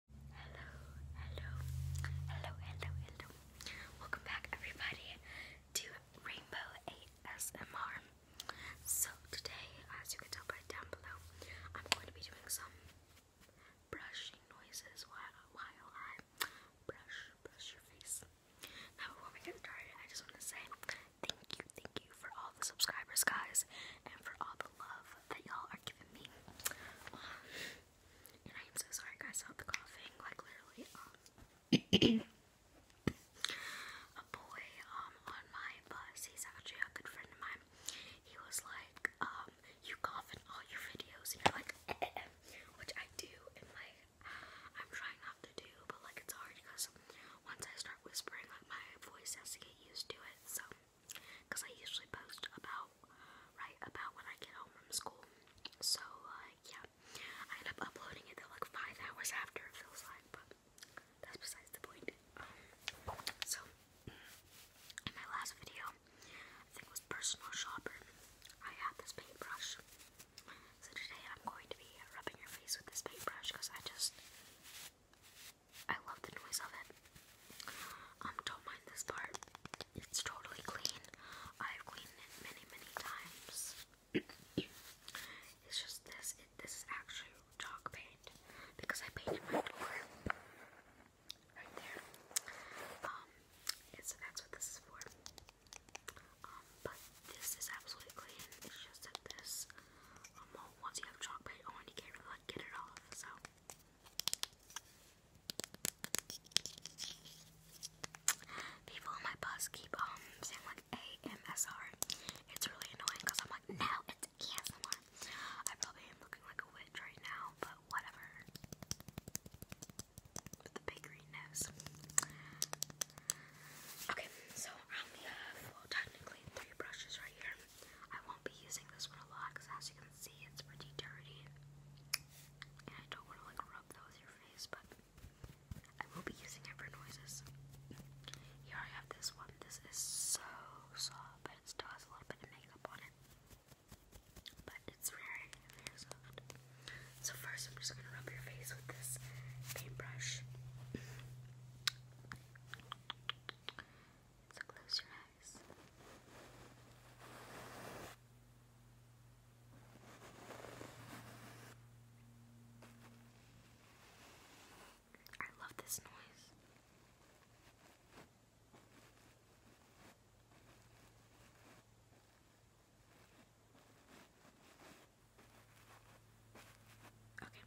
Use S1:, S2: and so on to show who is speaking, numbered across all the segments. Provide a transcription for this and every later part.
S1: Hello, hello, hello, hello, hello. Welcome back, everybody, to Rainbow ASMR. So, today, as you can tell by down below, I'm going to be doing some brushing noises while, I brush, brush your face. Now, before we get started, I just want to say thank you, thank you for all the subscribers, guys, and for all the love that y'all are giving me. and I am so sorry, guys, I about the coughing. Like, literally, um, a boy um, on my bus, he's actually a good friend of mine. He was like, um, you cough in all your videos, and you're like, which I do, and like, I'm trying not to do, but like, it's hard because once I start whispering, like, my voice has to get used to it, so. Because I usually post about, right, about when I get home from school. So, like, yeah. I end up uploading it like, five hours after, it feels like, but that's besides the point. so, in my last video, I think it was personal shopping, I had this paintbrush. So today I'm going to be rubbing your face with this paintbrush because I just I love the noise of it. Um, don't mind this part. It's totally clean. I've cleaned it many, many times. it's just this. this is actually chalk paint because I painted my door right there. Um, so that's what this is for. Um, but this is absolutely clean. It's just this, um, once you have chalk paint on, you can't really get it off. So People on my bus keep um, saying like AMSR. It's really annoying because I'm like, no, it's ASMR. I probably am looking like a witch right now, but whatever. But the big green Okay, so I have technically three brushes right here. I won't be using this one a lot because as you can see it's pretty dirty. And I don't want to like rub that with your face, but I will be using it for noises. Here I have this one. This is so soft, but it still has a little bit of makeup on it. But it's very, very soft. So first I'm just gonna rub your face with this paintbrush. So close your eyes. I love this noise. Okay.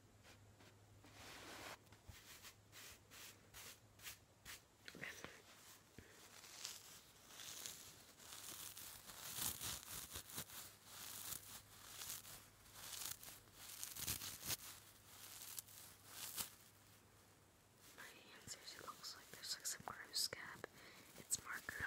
S1: My hands actually looks like there's like some gross scab. It's marker.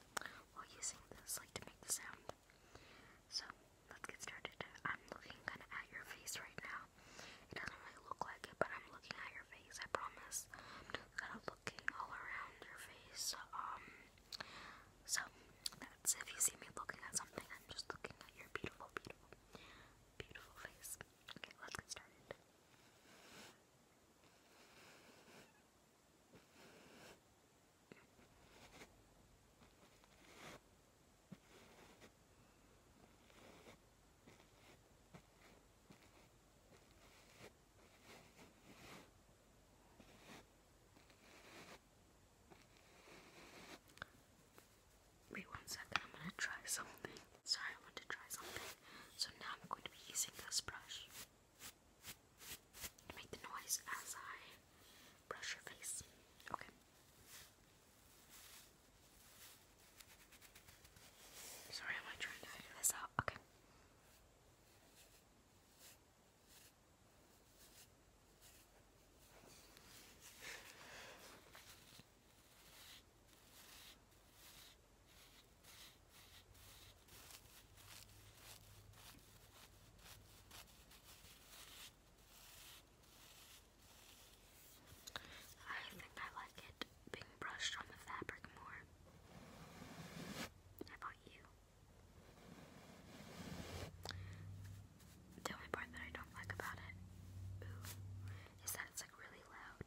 S1: voice while using this like to make the sound. So let's get started. I'm looking kind of at your face right now. It doesn't really look like it, but I'm looking at your face. I promise. I'm just kind of looking all around your face. Um. So that's if you see me looking at something, I'm just looking at your beautiful, beautiful, beautiful face. Okay, let's get started. Wait one second, I'm gonna try something. Sorry, I want to try something. So now I'm going to be using this brush. Make the noise as I brush your face. Okay. Sorry, am I trying to figure this out? Okay. I think I like it being brushed on the fabric more. How about you? The only part that I don't like about it that it's like really loud.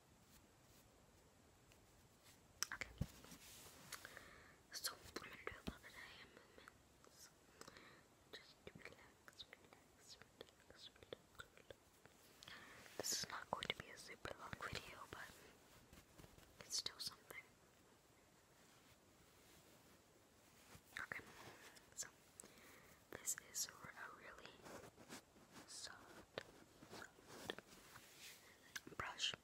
S1: Okay. So I'm gonna do a little of hand movements. Just relax, relax, relax, relax. This is not going to be a super long video, but it's still something. Okay, so this is a really soft, soft brush. Okay.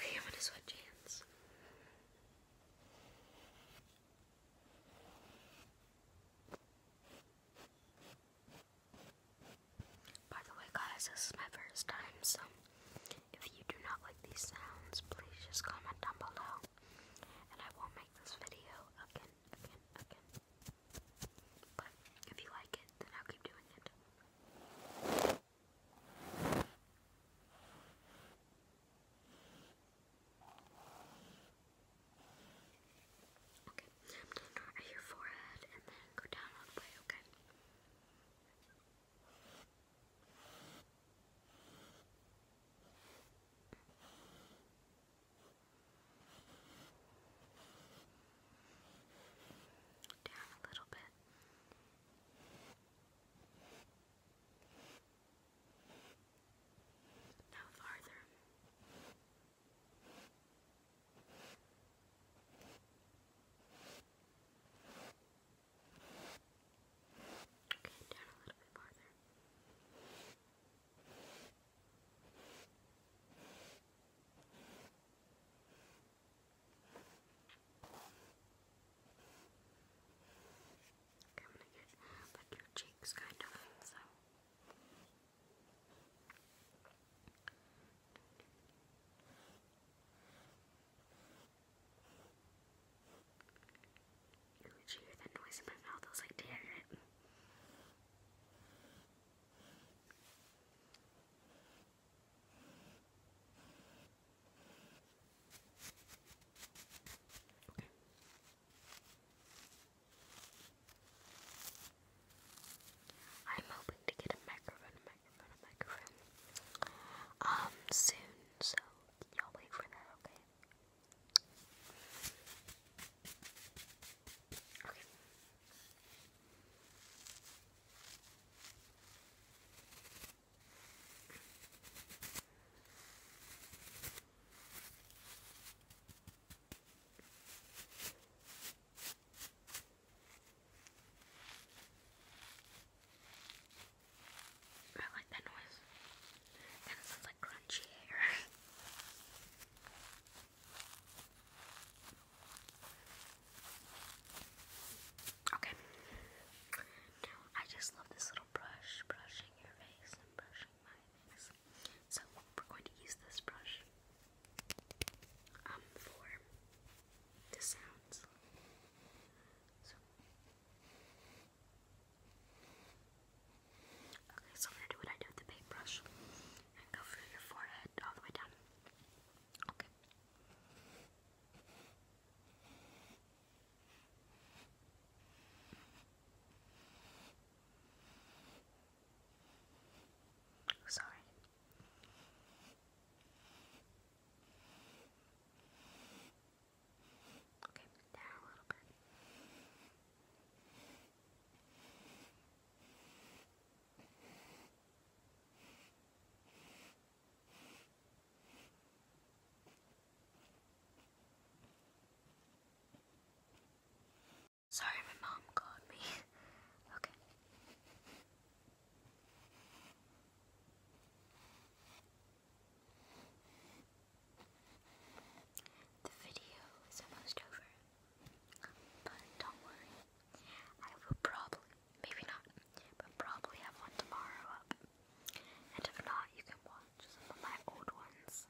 S1: Okay, I'm gonna switch hands. Okay. By the way, guys, this is my first time, so if you do not like these sounds, please just comment down below, and I will make this video again, again, again. But if you like it, then I'll keep doing it. Okay, I'm gonna start at your forehead and then go down all the way, okay? Down a little bit. Now farther. Okay, down a little bit farther. Okay, I'm gonna get like your cheeks kind of so. Okay. Did you hear that noise in my mouth? I was like, damn it. Okay. I'm hoping to get a microphone, a microphone, a microphone. Um, soon, so y'all wait for that, Okay. I like that noise. And it sounds like crunchy hair. okay. I just love this little brush brushing your face and brushing mine. So we're going to use this brush um, for the sounds. So. Okay, so I'm gonna do what I do with the paintbrush and go through your forehead all the way down. Okay. Sorry. Okay, down a little bit. Sorry, my mom called me. okay. The video is almost over. But don't worry. I will probably, maybe not, but probably have one tomorrow up. And if not, you can watch some of my old ones.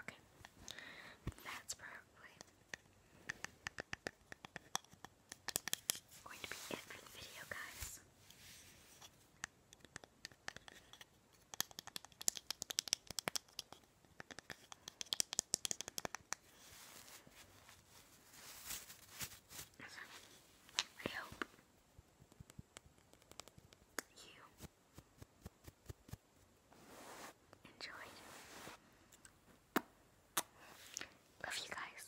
S1: Okay, that's probably going to be it for the video, guys. I hope you enjoyed. Love you guys.